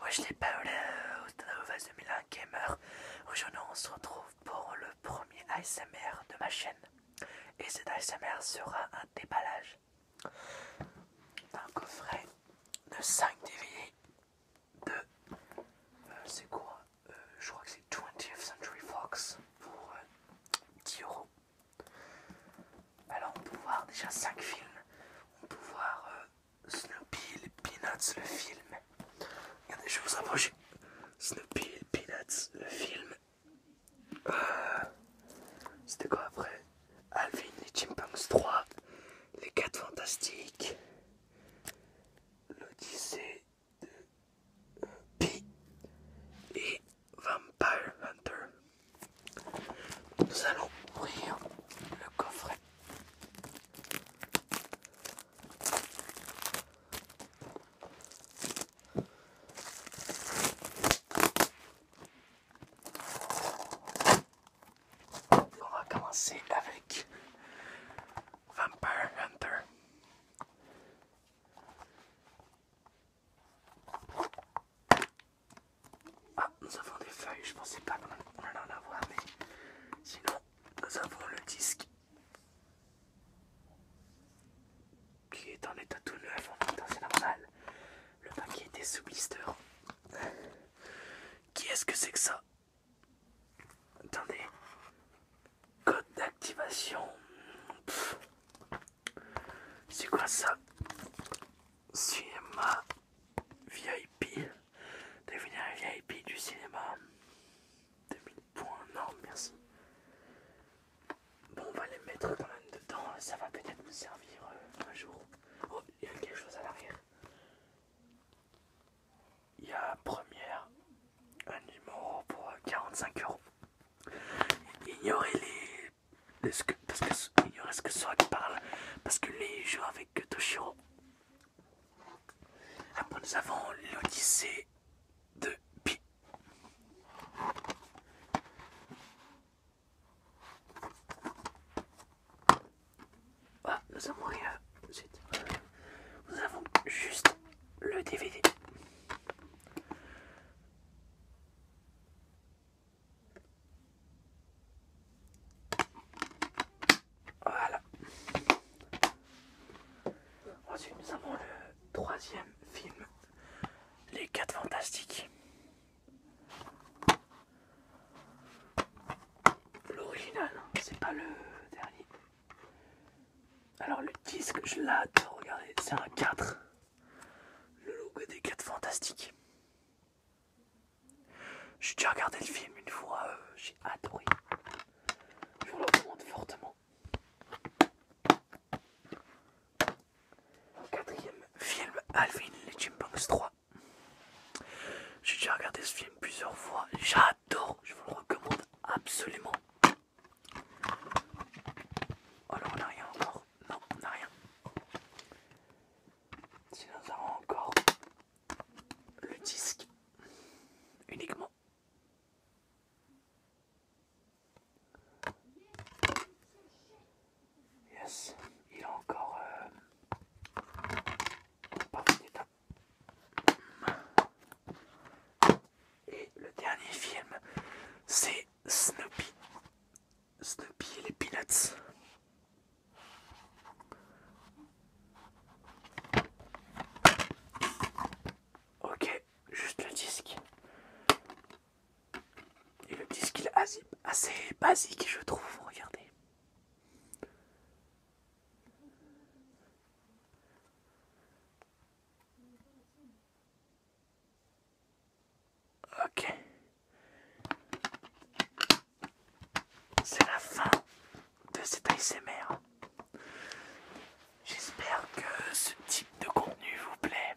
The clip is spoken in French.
Wesh les paoleurs, c'est de 2001 Gamer. Aujourd'hui on se retrouve pour le premier ASMR de ma chaîne. Et cet ASMR sera un déballage d'un coffret de 5 DVD de... c'est quoi euh, Je crois que c'est 20th Century Fox pour 10 euh, euros. Alors on peut voir déjà 5 films. On peut voir euh, Snoopy, les Peanuts, le film. Regardez, je vous approcher. Snoopy, les Peanuts, le film. Euh, c'était quoi après Alvin, les Chimpanzees 3, les 4 Fantastiques, l'Odyssée de euh, Pi et Vampire Hunter. Nous allons ouvrir le coffret. On va commencer avec Vampire Hunter. Ah, nous avons des feuilles, je pensais pas qu'on allait en avoir, mais sinon, nous avons le disque qui est en état tout neuf, c'est normal. Le paquet était sous blister. Qui est-ce que c'est que ça Attendez, Code d'activation. C'est quoi ça Cinéma VIP. Devenir un VIP du cinéma. 2000 points. Non, merci. Bon, on va les mettre quand même dedans. Ça va peut-être nous servir euh, un jour. Oh, il y a quelque chose à l'arrière il y a première un numéro pour 45 euros. Ignorez les. les que, parce que, ignorez ce parle, parce que les jeux avec Toshiro. Après, ah nous avons l'Odyssée de Pi. Ah, nous avons rien nous avons juste le DVD. Voilà. Ensuite, nous avons le troisième film, Les Quatre Fantastiques. L'original, hein, c'est pas le dernier. Alors le disque, je l'adore, regardez, c'est un 4. Le logo des 4 Fantastiques. J'ai déjà regardé le film une fois, euh, j'ai adoré. Je vous le recommande fortement. Quatrième film, Alvin les Chipmunks 3. J'ai déjà regardé ce film plusieurs fois. J'adore. Je vous le recommande absolument. Alors oh on a rien encore. Non, on a rien. Sinon nous avons encore le disque. Uniquement. Yes, il a encore euh, Et le dernier film, c'est Snoopy. Snoopy et les Peanuts. Ok, juste le disque. Et le petit skill assez basique, je trouve. Regardez. Ok. C'est la fin de cet ASMR. J'espère que ce type de contenu vous plaît